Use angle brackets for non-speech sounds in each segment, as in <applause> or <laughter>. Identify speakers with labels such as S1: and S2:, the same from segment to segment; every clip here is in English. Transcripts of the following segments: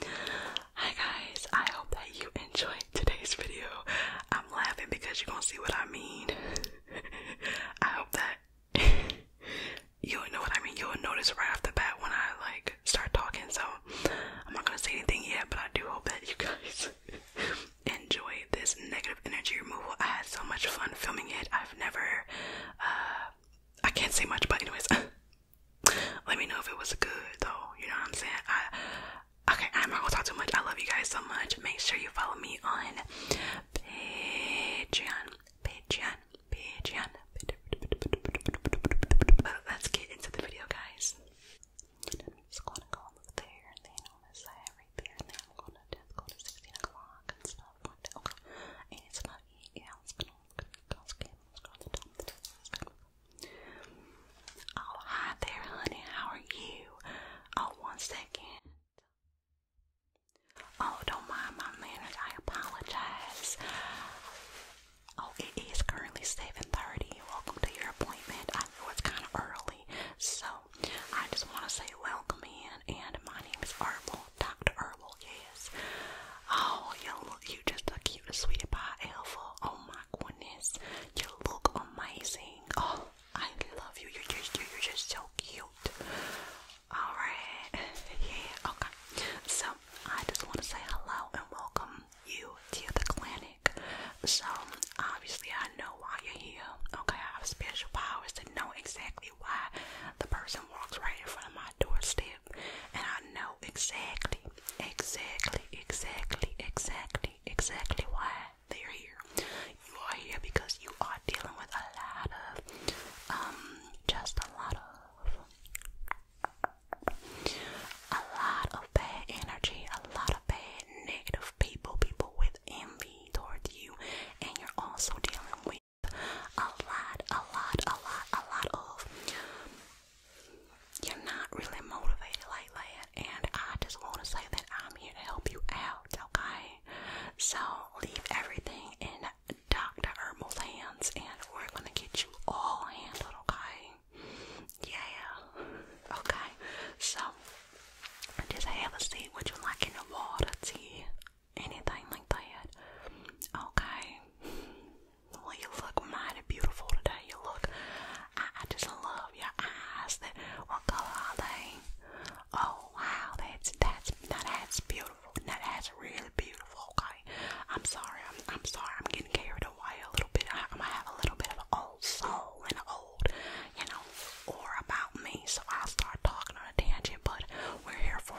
S1: Hi guys, I hope that you enjoyed today's video. I'm laughing because you're gonna see what I mean. <laughs> I hope that <laughs> you'll know what I mean. You'll notice right off the bat when I like start talking, so I'm not gonna say anything yet, but I do hope that you guys <laughs> enjoy this negative energy removal. I had so much fun filming it. I've never uh, I can't say much, but anyways, <laughs> let me know if it was good though. You know what I'm saying? I okay. I'm not gonna talk too much. I love you guys so much. Make sure you follow me on Patreon, Patreon, Patreon. But let's get into the video, guys. I'm just gonna go over there and then on this side right there, and then I'm gonna just go to 16 o'clock and stuff. Okay, and it's my hi there, honey. How are you? Oh, one second. Oh, don't mind my manners. I apologize. Oh, it is currently 7.30. Welcome to your appointment. I know it's kind of early, so I just want to say welcome in. And my name is Herbal Dr. Herbal, yes. Oh, you look, you just a cute sweetie pie alpha. Oh my goodness, you look amazing. Oh, I love you. You're just, you you're just so cute. All right, <laughs> yeah, okay. So I just want to say hello and welcome you to the clinic. So obviously I know why you're here. Okay, I have special powers to know exactly exactly why the person walks right in front of my doorstep, and I know exactly, exactly, exactly, exactly, exactly why they're here. You are here because you are dealing with a lot of, um, just a lot of, a lot of bad energy, a lot of bad negative people, people with envy towards you, and you're also dealing with a lot, a lot, a lot, a lot of you're not really motivated like that. And I just want to say that I'm here to help you out, okay? So leave everything in Dr. Herbal's hands and we're going to get you all handled, okay? Yeah, okay. So just have a seat. Would you like in the water, tea, anything like that. Okay. you look mighty beautiful today. You look. I, just love your eyes. what color are they? Oh wow, that's that's now that's beautiful. Now that's really beautiful. Okay. I'm sorry. I'm I'm sorry. I'm getting carried away a little bit. I, am gonna have a little bit of an old soul and an old, you know, or about me. So I'll start talking on a tangent. But we're here for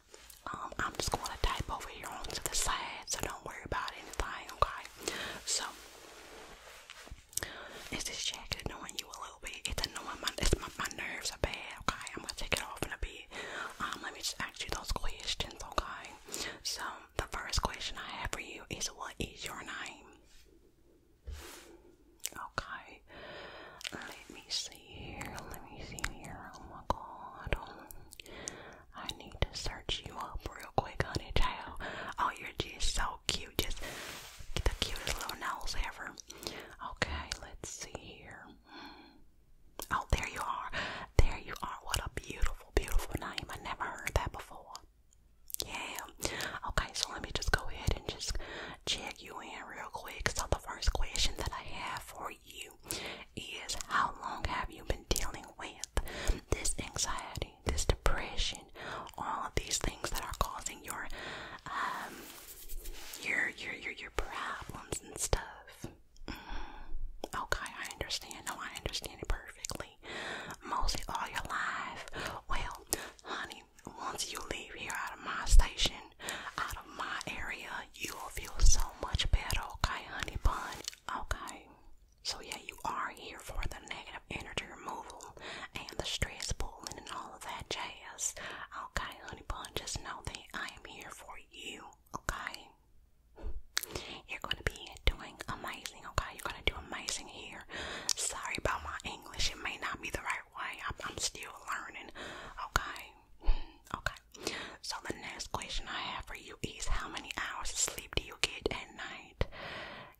S1: um, I'm just going to type over here onto the side, so don't worry about anything, okay? So, it's just jacket annoying you a little bit? It's annoying, my, my, my nerves are bad, okay? I'm going to take it off in a bit. Um, let me just ask you those questions, okay? So, the first question I have for you is what is your name? Okay, let me see. Let me see here. Oh my god. Um, I need to search you up real quick, honey child. Oh, you're just so cute. Just the cutest little nose ever. Okay, let's see here. Oh, there you are. There you are. What a beautiful, beautiful name. I never heard that before. Yeah. Okay, so let me just go ahead and just check you in real quick. So the first question that I have for you you is how long have you been dealing with this anxiety, this depression, all of these things that are causing your um your your your, your problems and stuff. Mm-hmm. okay, I understand. No, I understand it perfectly. Mostly all your life. Well, honey, once you leave here out of my station, out my area, you will feel so much better, okay, honey bun? Okay. So, yeah, you are here for the negative energy removal and the stress pulling and all of that jazz. Okay, honey bun, just know that I am here for you, okay? You're going to be doing amazing, okay? You're going to do amazing here. Sorry about my English, it may not be the right way. I'm still learning, okay? Okay. So the next question I have for you is how many hours of sleep do you get at night?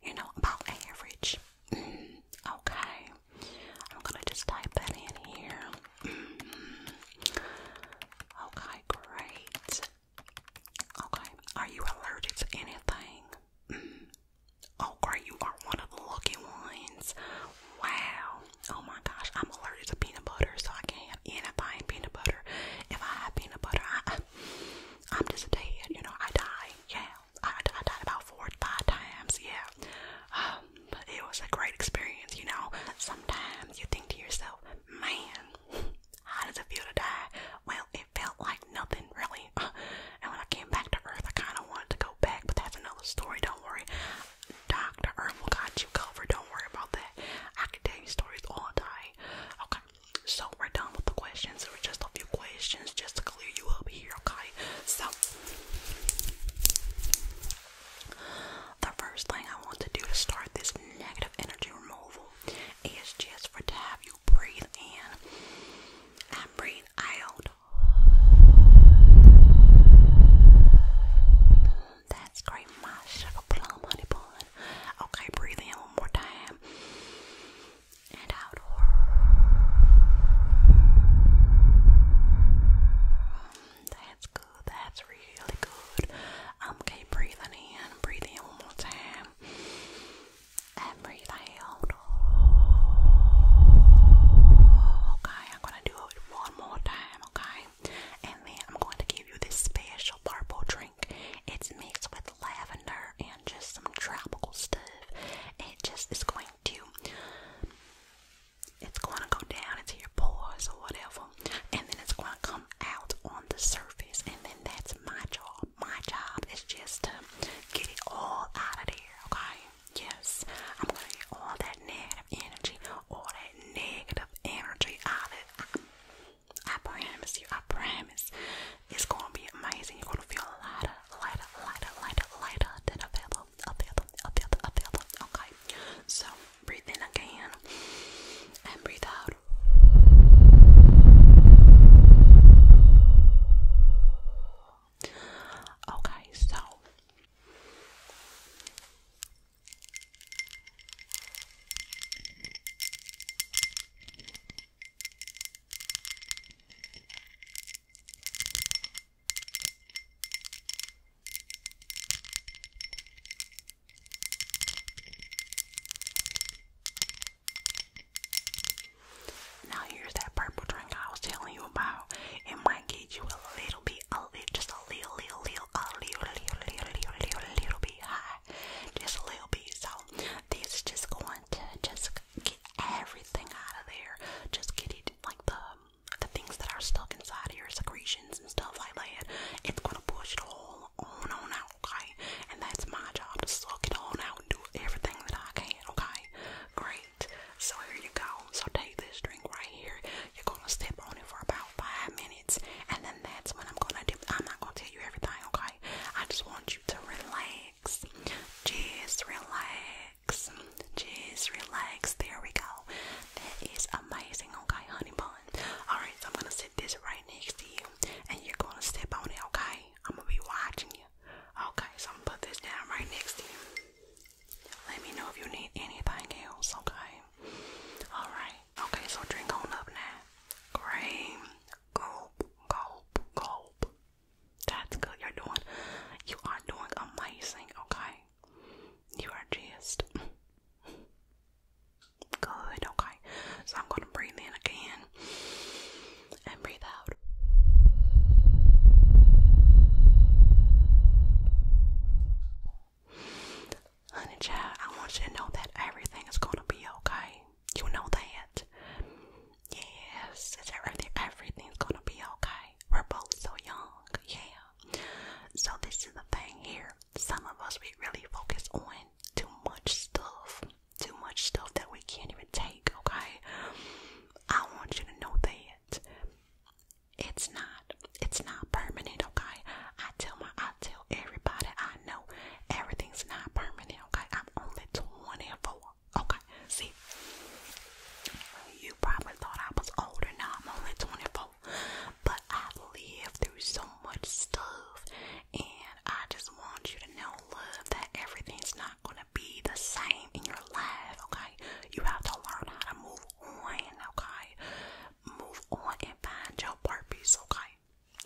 S1: You know, about average. Mm-hmm. okay. I'm gonna just type that in here. Mm-hmm. Okay, great. Okay. Are you allergic to anything? Mm-hmm. Oh, great, you are one of the lucky ones. Wow. Oh my gosh, I'm allergic to peanut butter, so I can't have anything peanut butter. If I have peanut butter, I, am just dead. You know, I die. Yeah, I, died about four or five times. Yeah, um, but it was a great experience. You know, sometimes you think to yourself, man, how does it feel to die? Well, it felt like nothing really. And when I came back to Earth, I kind of wanted to go back, but that's another story. Don't worry. Dr. Irma got you covered. Don't worry about that. I can tell you stories all day. Okay, so we're done with the questions. There were just a few questions just to clear you up here, okay? So, the first thing I want to do to start this negative energy removal is just for to have you breathe in and breathe out. That's great, my sugar plum honey bun. Okay, breathe in one more time. And out. That's good. That's really good. Um, keep breathing in. Breathe in one more time. And breathe out. Okay, I'm gonna do it one more time. Okay. And then I'm going to give you this special purple drink. It's mixed with lavender and just some tropical stuff. It just is going to it's going to go down into your pores or whatever, and then it's going to come out on the surface. And then that's my job. My job is just to get it all out of there, okay? Yes, I'm going to get all that negative energy, all that negative energy out of it. I promise you, I promise. It's gonna be amazing. You're gonna feel lighter, lighter, lighter, lighter, lighter than a feather, a feather, a feather, a feather. Okay. So breathe in again and breathe out. Okay, so now here's that purple drink I was telling you about. It might you a little bit, a little, just a little, little, little, a little, little, little, little, little, little bit just a little bit. So this is just going to just get everything out of there. Just get it like the the things that are stuck inside of your secretions and stuff like that. It's gonna push it all on on out, okay? And that's my job to suck it all out and do everything that I can, okay? Great. So here you go. So take this drink right here. You're gonna step on it for about five minutes, and then that's when I'm gonna do. I'm not gonna tell you everything, okay? I just want you to relax. Just relax. Just relax. There we go. That is amazing, okay, honey bun. Alright, so I'm gonna sit this right next to you, and you're gonna step on it, okay? I'm gonna be watching you. Okay, so I'm gonna put this down right next to you. Let me know if you need anything else, okay? Alright, okay, so drink on up now. Gulp, gulp, gulp. That's good. You're doing, you are doing amazing, okay? You are just good, okay? So I'm gonna breathe in again and breathe out. Honey child, I want you to know that everything is gonna be okay. You know that. Yes, it's everything everything's gonna be okay. We're both so young, yeah. So this is the thing here. Some of us we really focus on too much stuff. Too much stuff that we can't even take, okay? I want you to know that it's not it's not permanent okay i tell my i tell everybody i know everything's not permanent okay i'm only 24 okay see you probably thought i was older now i'm only 24 but i lived through so much stuff and i just want you to know love that everything's not gonna be the same in your life okay you have to learn how to move on, okay? Move on and find your purpose, okay?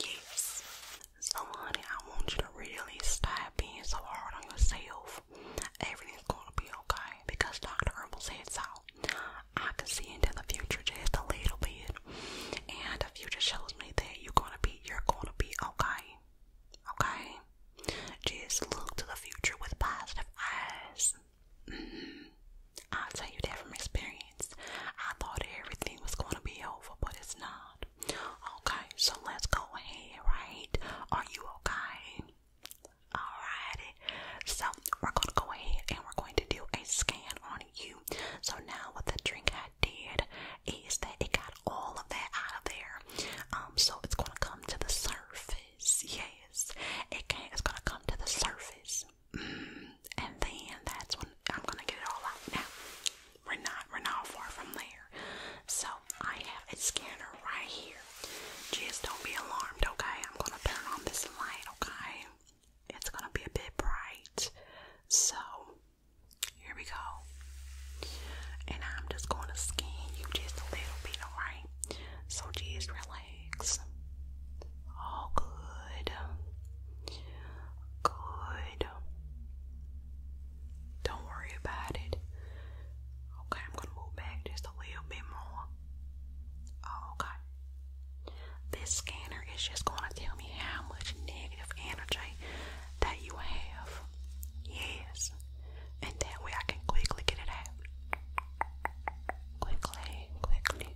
S1: Yes. So, honey, I want you to really stop being so hard on yourself. Everything's gonna be okay because Dr. Herbal said so. I can see into the future just a little bit, and the future shows me that you're gonna be, you're gonna be okay. Okay? Just look to the future with positive eyes. <sighs> I'll tell you that experience. I thought everything was going to be over, but it's not. Okay, so let's go ahead, right? Are you okay? Alrighty. So we're going to go ahead and we're going to do a scan on you. So now what the drink had did is that it got all of that out of there. Um, so it's going to come to the surface. Yes, It's gonna come to the surface, mm. and then that's when I'm gonna get it all out. Now, we're not. We're not far from there. So I have a scanner right here. Just don't be alarmed, okay? I'm gonna turn on this light, okay? It's gonna be a bit bright. So here we go. And I'm just gonna scan you just a little bit, alright? So just relax. All good. Good. Don't worry about it. Okay, I'm gonna move back just a little bit more. Okay. This scanner is just gonna tell me how much negative energy that you have. Yes. And that way I can quickly get it out. Quickly, quickly.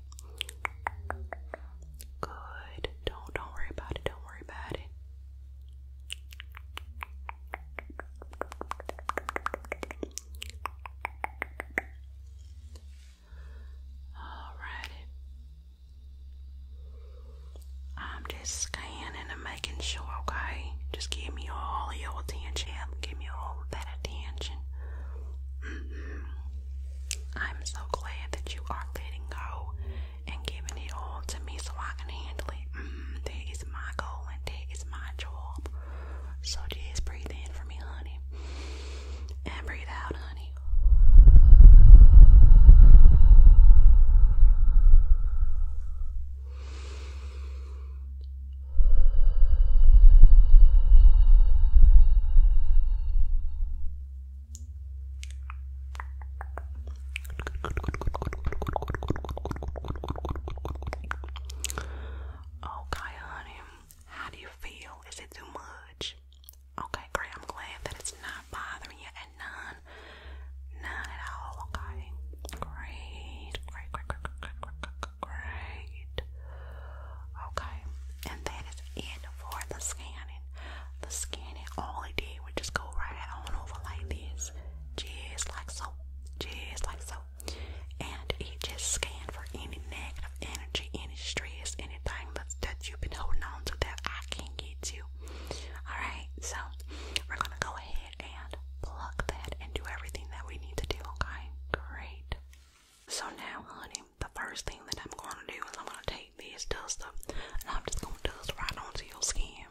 S1: Good. Don't don't worry about it. Don't worry about it. Alrighty. I'm just scanning and making sure, okay? Just give me all your attention. Give me all that at the engine. I'm so glad that you are letting go and giving it all to me so I can handle it. Mm, that is my goal and that is my job. So just breathe in for me, honey. And breathe out, honey. Okay, honey. How do you feel? Is it too much? Okay, great. I'm glad that it's not bothering you at none. None at all. Okay. Great. Great, great, great, great, great, great, great. Okay, and that is it for the scanning. The scanning, all it did was just go right on over like this, just like so, just like so. And it just scanned for any negative energy, any stress, anything that, that you've been holding on to that I can get you. Alright, so we're gonna go ahead and pluck that and do everything that we need to do, okay? Great. So now, honey, the first thing that I'm going to do is I'm going to take this dust duster and I'm just going to dust right onto your skin.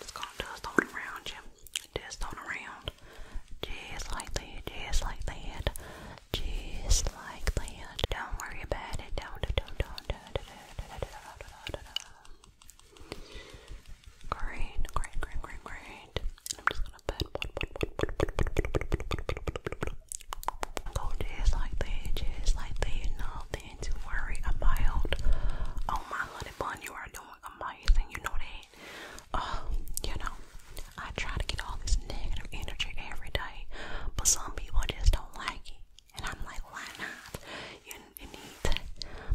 S1: Just going to dust on around you. Dust on around. Just like that, just like that, just like that. Don't worry about it. Don't, don't, don't, don't, don't, don't, don't, don't, don't, don't, don't. Great, great, great, great, great. And I'm just gonna put go just like that, just like that, nothing to worry about. Oh my honey bun, you are doing amazing, you know that. Uh, you know, I try to get all this negative energy every day, but some people just don't like it. And I'm like, why not? You, need to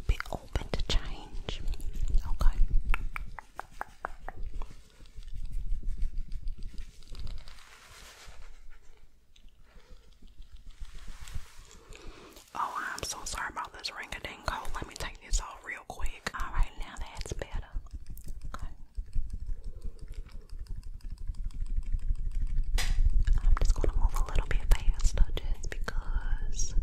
S1: be open to change. Okay. Oh, I'm so sorry about this ring a ding Let me take this off real quick. Alright, now that's better. I'm just gonna move a little bit faster just because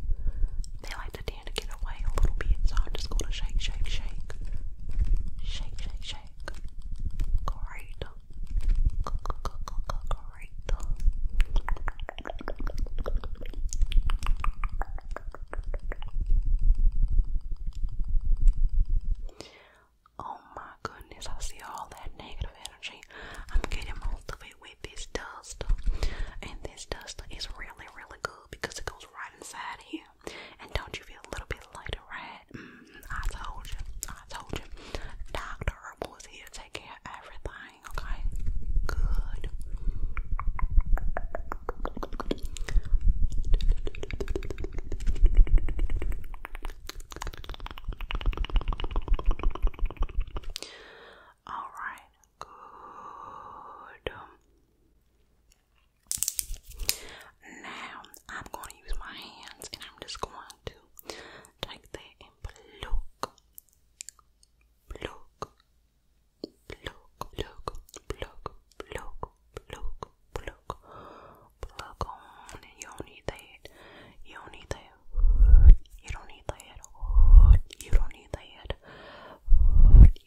S1: they like to tend to get away a little bit, so I'm just gonna shake, shake, shake. Shake, shake, shake. Great. Great. Oh my goodness, I see all that negative energy. I'm getting most of it with this dust. And this dust is really, really good because it goes right inside here. And don't you feel a little bit lighter, right? Mm, I told you. I told you. Dr. Herbal is here to take care of everything, okay? Good. All right, good. Now I'm going to use my hands and I'm just going to take that and pluck, pluck, pluck, pluck, pluck, pluck, pluck, pluck, pluck on. And you don't need that. You don't need that. You don't need the head. You don't need the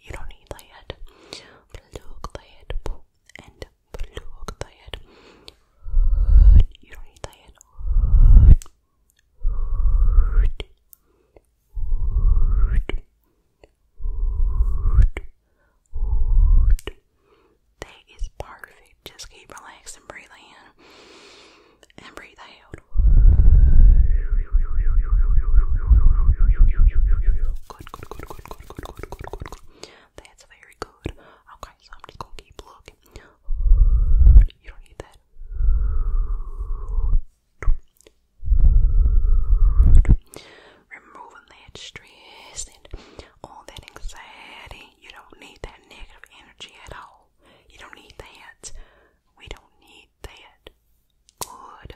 S1: You don't need the head. Plug and plug the You don't need the that is perfect. Just keep relaxing, breathe in and breathe out. good, good, good, good, good, good, good, good, good. That's very good. Okay, so I'm just gonna keep looking. You don't need that. Removing that stress and all that anxiety you don't need that negative energy at all. You don't need that. We don't need that. Good.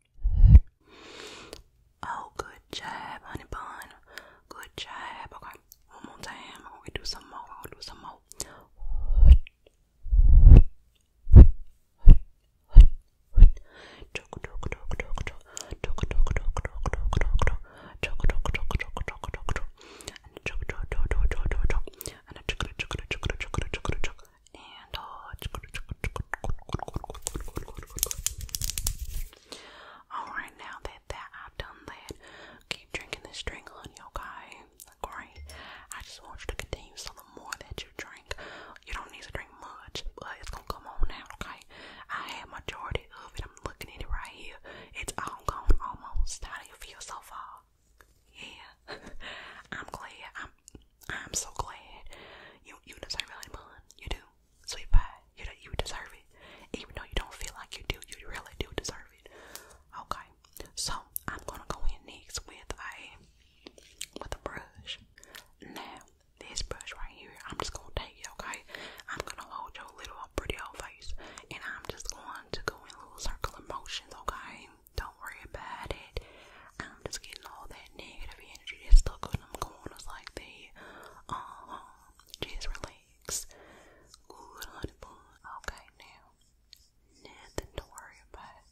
S1: Oh, good job, honey bun. Good job. Okay, one more time. We am do some more. I'm do some more and uh, alright now that that I've done that, keep drinking this drink, honey, okay? Great. I just want you to continue so the more that you drink, you don't need to drink much, but it's gonna come on now, okay? I had majority of it. I'm looking at it right here. It's all gone almost. How do you feel so far? Yeah. <laughs> I'm glad. I'm I'm so glad. You you deserve it, bun. You do, sweet You you deserve it. Even though you don't feel like you do, you really do deserve it. Okay. So I'm gonna go in next with a with a brush. Now this brush right here, I'm just gonna take it. Okay. I'm gonna hold your little pretty old face, and I'm just going to go in little circular motions. Okay don't worry about it. I'm just getting all that negative energy that's stuck on them corners like that. Uh-huh. Just relax. Okay, now. Nothing to worry about.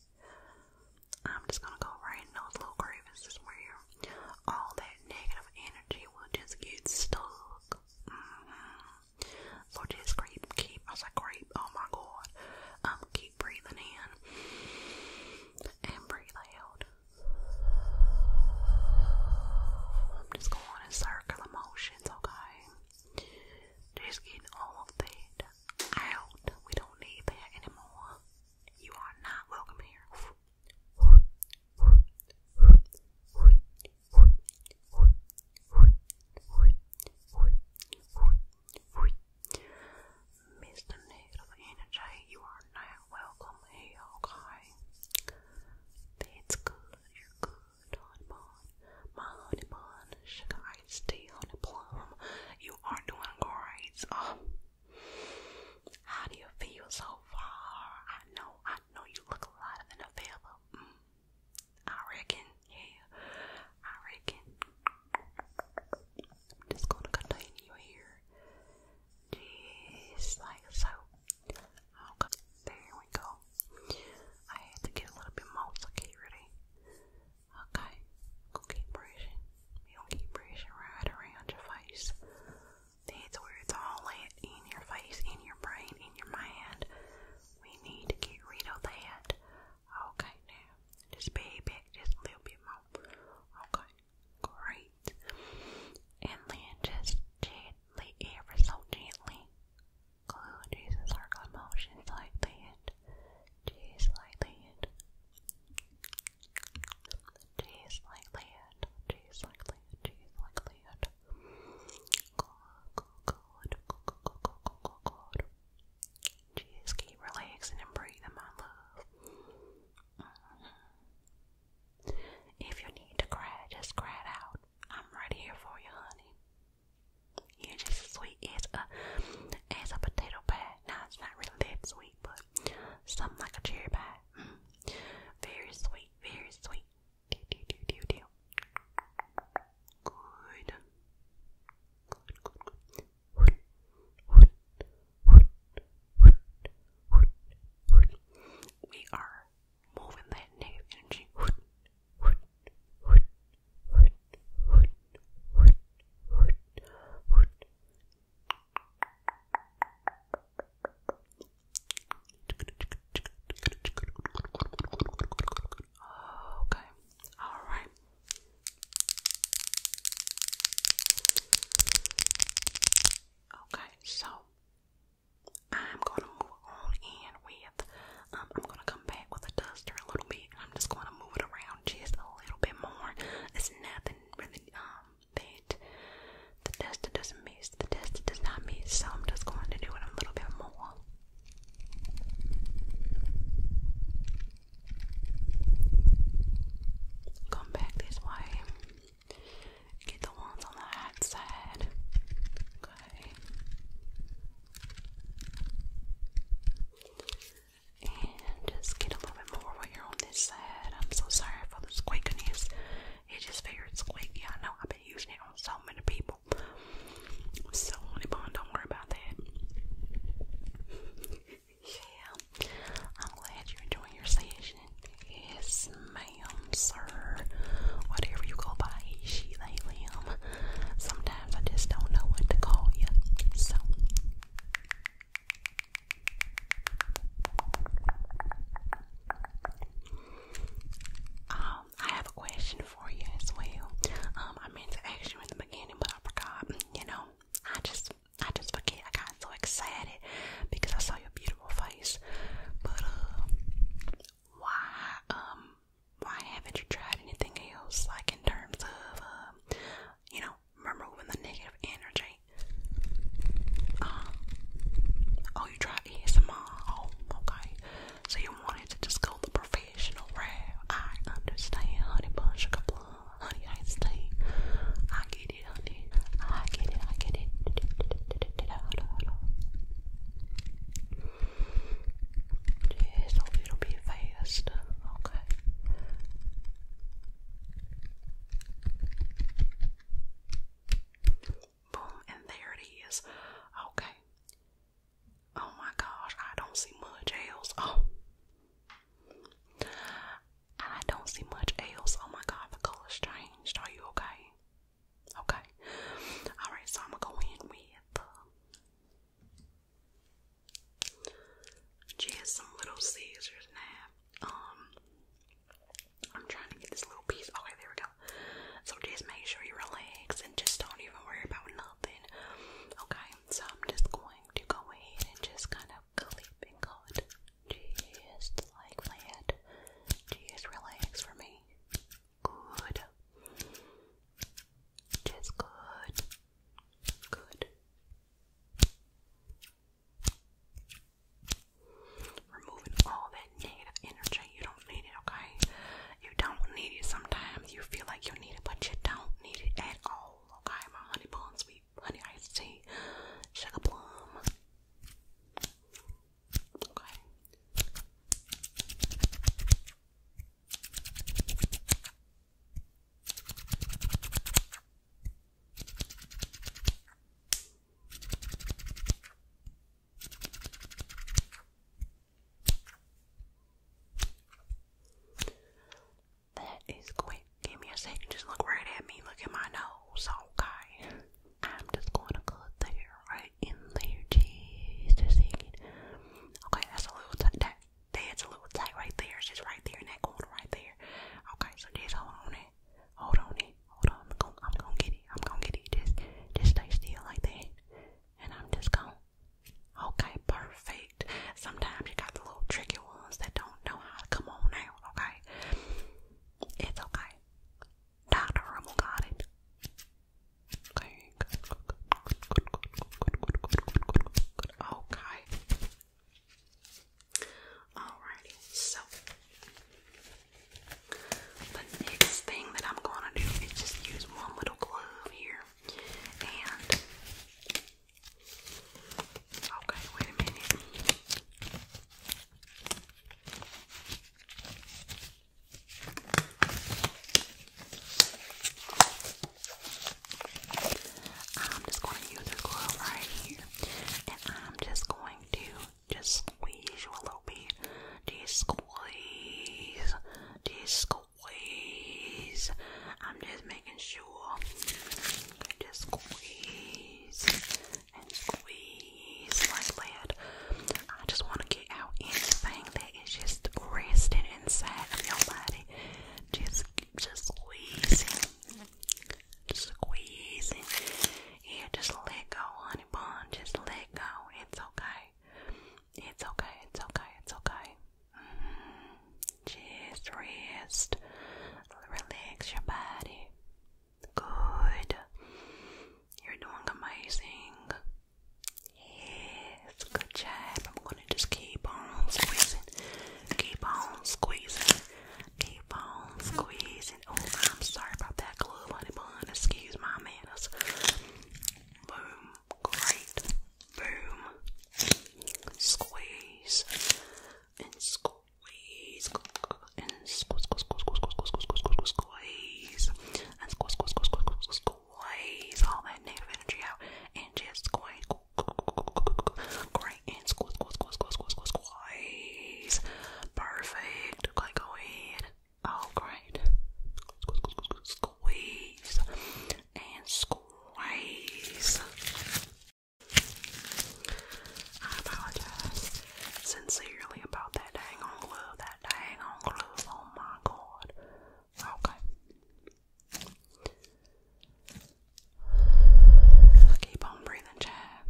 S1: I'm just gonna go right in those little crevices where all that negative energy will just get stuck. Mm just keep, keep, I was like, creep, oh my god. Um, keep breathing in and breathe out. I'm just going in circular motions, okay? Just get all of that out. We don't need that anymore. You are not welcome here. Mr. Negative Energy, you are not welcome here, okay? That's good, you're good, honey bun. My honey bun, sugar iced tea, honey plum. You are doing great. Um, how do you feel so far? I know, I know you look a lot in a feather. Mm, I reckon, yeah. I reckon I'm just gonna continue here. Just like so. there we go. I had to get a little bit more security. Okay, go keep brushing. You don't keep brushing right around your face. That's where it's all in your face, in your brain, in your mind. We need to get rid of that. Okay, now just a little bit more. Okay, great. And then just gently, ever so gently, glue in circular motions like that. Just like that. Just like that. Just like that. Just like Good, good, good, good, good, good, good, good. Just keep relaxing and breathing, my love. Mm-hmm. If you need to cry, just cry out. I'm right here for you, honey. You're just as sweet as a as a potato pie. Now it's not really that sweet, but something like a cherry pie. Mm-hmm. Very sweet, very sweet. good. We are moving that negative energy. Okay, all right. Okay, so I'm gonna move on in with um, I'm gonna come back with a duster a little bit I'm just gonna move it around just a little bit more. It's nothing really um that the duster doesn't miss, the duster does not miss, so I'm just going to do it a little bit more. Come back this way. Get the ones on the outside. Okay. And just get a little bit more while you're on this side. I'm so sorry for the squeakiness. It just figured squeaky. I know I've been using it on so many people. So, Bonnie Bond, don't worry about that yeah. I'm glad you're your session. Yes, ma'am, sir. Whatever you go by, she, they, Sometimes I just don't know what to call you. So. Um, I have a question for you as well. Um, I meant to ask you in the beginning, but I forgot you know, I just, I just forget. I got so excited because I saw your beautiful face. But uh, why, um, why haven't you tried anything else? Like in terms of, um, you know, removing the negative energy. Um, oh, you tried ASMR. Oh, okay. So you wanted to just go the professional I understand, honey. Bunch of couple, honey. I understand. I get it, honey. I get it. I get it. Just hope it'll be Okay. Boom, and there it is. Okay. Oh my gosh, I don't see much else. Oh, <laughs> I don't see much else. Oh my god, the color's changed. Are you okay? Okay. Alright, so I'm gonna go in with uh, just some little scissors now. Um, I'm trying to get this little piece. Okay, there we go. So just make sure you relax and just don't even worry about nothing. Okay, so I'm just going to go ahead and just kind of clip and go to just like that. Just relax for me. Good. Just good. Good. Removing all that negative energy. You don't need it, okay? You don't need it. Sometimes you feel like you need it, but you don't need it at all okay, my honey bun sweet honey iced tea, sugar plum. Okay. That is quick. Give me a second. Just look right at me. Look at my nose. Okay. I'm just going to cut there, right in there. Just a second. Okay, that's a little tight. that's a little tight right there. It's just right there in that corner right there. Okay, so just hold on it. Hold on it. Hold on. I'm going to get it. I'm going to get it. Just, just stay still like that. And I'm just going to Okay, perfect. Sometimes you got the little tricky ones that don't know how to come on out, okay? It's okay. Dr. Rumble got it. Okay, good, good, good, good, good, good, good, good, good, good, good, good. Okay. Alrighty, so the next thing that I'm gonna do is just use one little glove here and okay, wait a minute. I'm just going to use this glove right here, and I'm just going to just squeeze a little bit. Just squeeze, just squeeze squeeze. I'm just making sure. just squeeze and squeeze like that. I just want to get out anything that is just resting inside of your body. Just, just squeezing, squeezing. Yeah, just let go, honey bun. Just let go. It's okay. It's okay, it's okay, it's okay. Mm-hmm. Just rest, relax your body. Good. You're doing amazing. Yes, good job. I'm gonna just keep on squeezing, keep on squeezing, keep on squeezing. Oh, I'm sorry about that glue, honey bun. Excuse my manners. Boom great, boom, squeeze, and squeeze, and squeeze, squeeze, squeeze, squeeze, and squeeze, squeeze, squeeze, squeeze all that negative energy out, and just squeeze, great, and squeeze, squeeze, squeeze, squeeze, squeeze, perfect. Okay, go ahead. Oh, great. Squeeze, squeeze, squeeze, squeeze, and squeeze. I apologize sincerely about that dang glue, that dang glue, oh my god. Okay. Keep on breathing, Chad.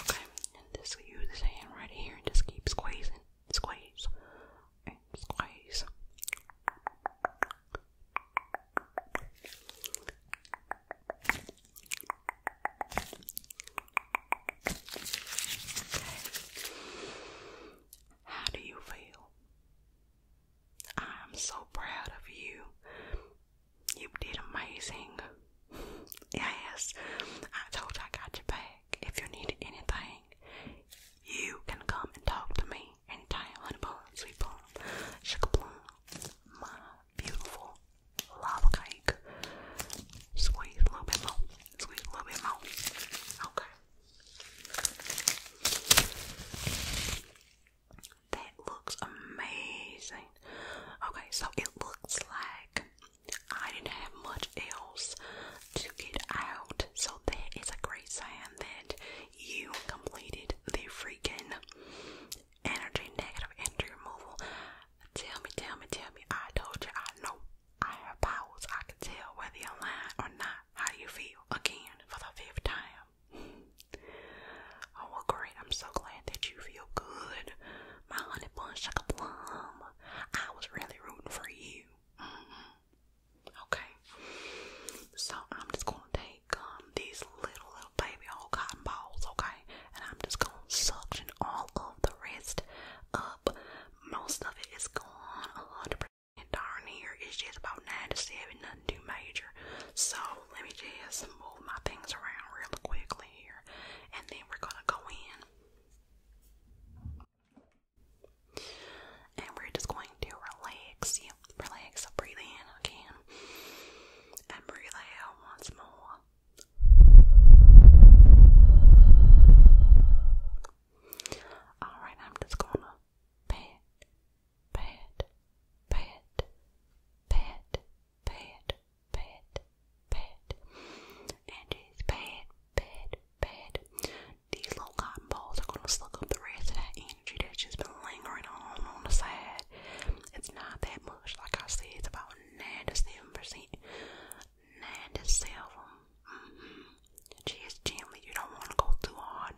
S1: Okay, and just use this right here just keep squeezing squeeze squeeze. How do you feel? I am so proud of you. You did amazing. <laughs> Yes, I told you I got your back if you need anything, you can come and talk to me anytime. Honey bun, sweet bun, sugar plum, my beautiful lava cake. Squeeze a little bit more. Squeeze a little bit more. Okay. That looks amazing. Okay, so it looks like I didn't have much else to get out, so that is a great sign that you completed the freaking energy negative energy removal. Tell me, tell me, tell me. I told you I know I have powers. I can tell whether you're lying or not. How you feel? Again, for the fifth time. <laughs> Oh great! I'm so glad that you feel good, my honey bun, sugar plum. I was really rooting for you. Mm-hmm. Okay. So I'm just gonna take um these little little baby old cotton balls, okay, and I'm just gonna suction all of the rest up. Most of it is gone, a hundred percent darn near. It's just about nine ninety-seven, nothing too major. So let me just move my things around real quickly here, and then we're gonna go in. And we're just going to relax. Yep, relax. Breathe in again. And breathe out once more. Alright, I'm just gonna pat, pat, pat, pat, pat, pat, bed. And it's bad, bad, bad. These little cotton balls are gonna suck up the rest of that energy that's just been lingering on on the side. It's not that much, like I said, it's about 97%. 97. Mm-hmm. Just gently, you don't wanna go too hard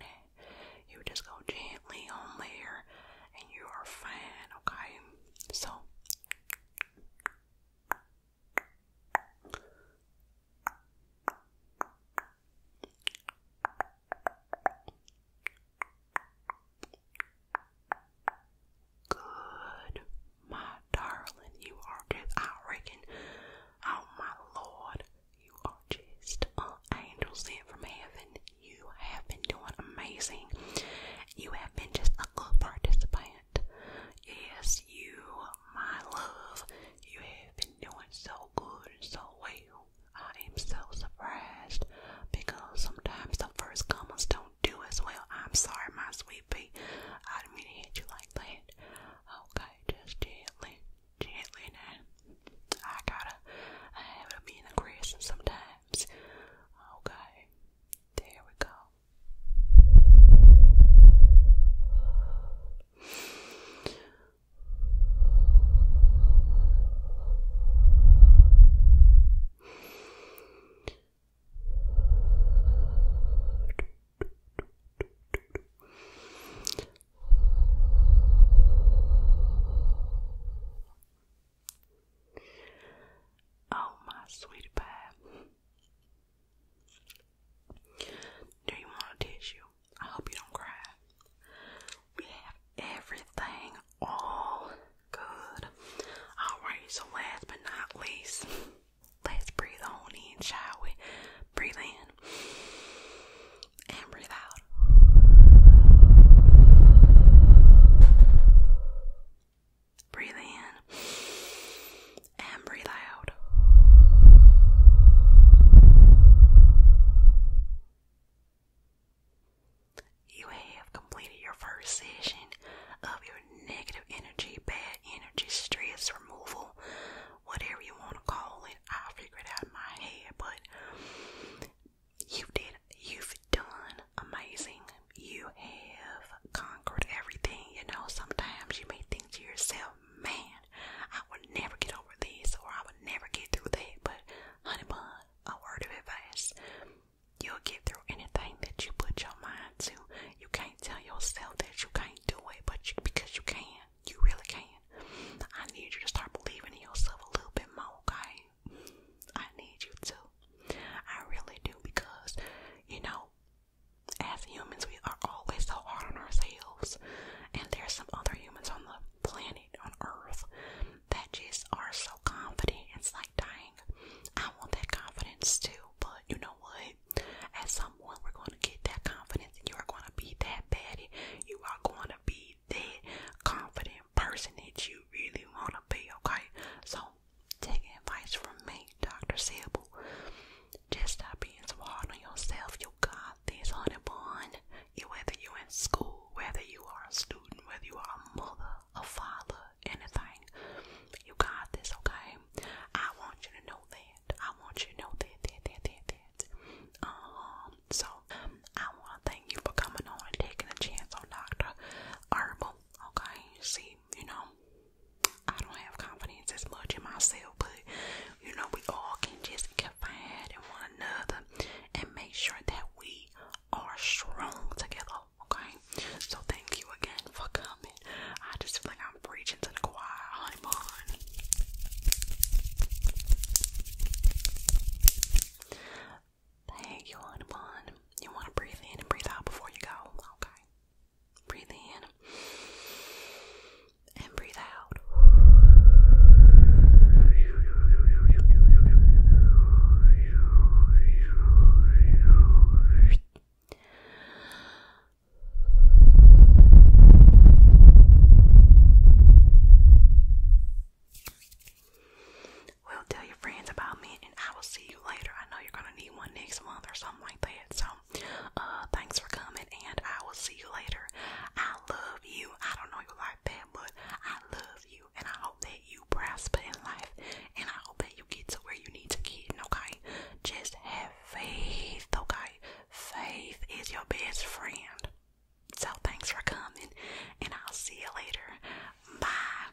S1: You just go gently on there and you are fine, okay? So Good, my darling, you are just, I reckon, oh my lord, you are just an angel sent from heaven. You have been doing amazing. You have been just a good participant Yes, you, my love, you have been doing so good and so well. I am so surprised because sometimes the first comers don't do as well. I'm sorry, my sweetie. I didn't mean to hit you like that. Okay, just gently, gently now. I gotta, I have to be in the aggressive sometimes. Okay, there we go. Oh, my sweet pie. Do you want a tissue? I hope you don't cry. We have everything all good. Alright, so last but not least, let's breathe on in, shall we? Breathe in and breathe out. Breathe in and breathe out. You have completed your first session of your negative energy, bad energy, stress removal, whatever you want to call it. I'll out in my head, but you did you've done amazing you have conquered everything. You know, sometimes you may think to yourself, man, I would never get over this or I would never get through that. But, honey bun, a word of advice you'll get through anything that you put your mind to. You can't tell yourself that you can't do it, but because you can, you really can. I need you to start believing in yourself a little bit more, okay? I need you to. I really do because, you know, as humans, we are always so hard on ourselves, and there's some other humans on the planet, on Earth, that just are so confident. It's like, dying. I want that confidence too, but you know what? At some point, we're going to get that confidence, and you are going to be that baddie. You are going to be that confident person that you really want to be, okay? So, Take advice from me, Dr. Sable. Just stop being so hard on yourself. You got this, honey bun. You, whether you in school, whether you are a student, whether you are a mother, a father, anything, you got this, okay? I want you to know that. I want you to know that, that, that, that, that. Um, so, um, I want to thank you for coming on and taking a chance on Dr. Herbal, okay? See, you know. I don't have confidence as much in myself, but you know, we all can just confide in one another and make sure that we are strong together, okay? So, thank you again for coming. I just feel like I'm reaching to the choir, honey bun. Thank you, honey bun. You want to breathe in and breathe out before you go, okay? Breathe in and breathe out. Will tell your friends about me and I will see you later. I know you're gonna need one next month or something like that. So, uh, thanks for coming, and I will see you later. I love you. I don't know you like that, but I love you, and I hope that you prosper in life, and I hope that you get to where you need to get. Okay, just have faith. Okay, faith is your best friend. So, thanks for coming, and I'll see you later. Bye.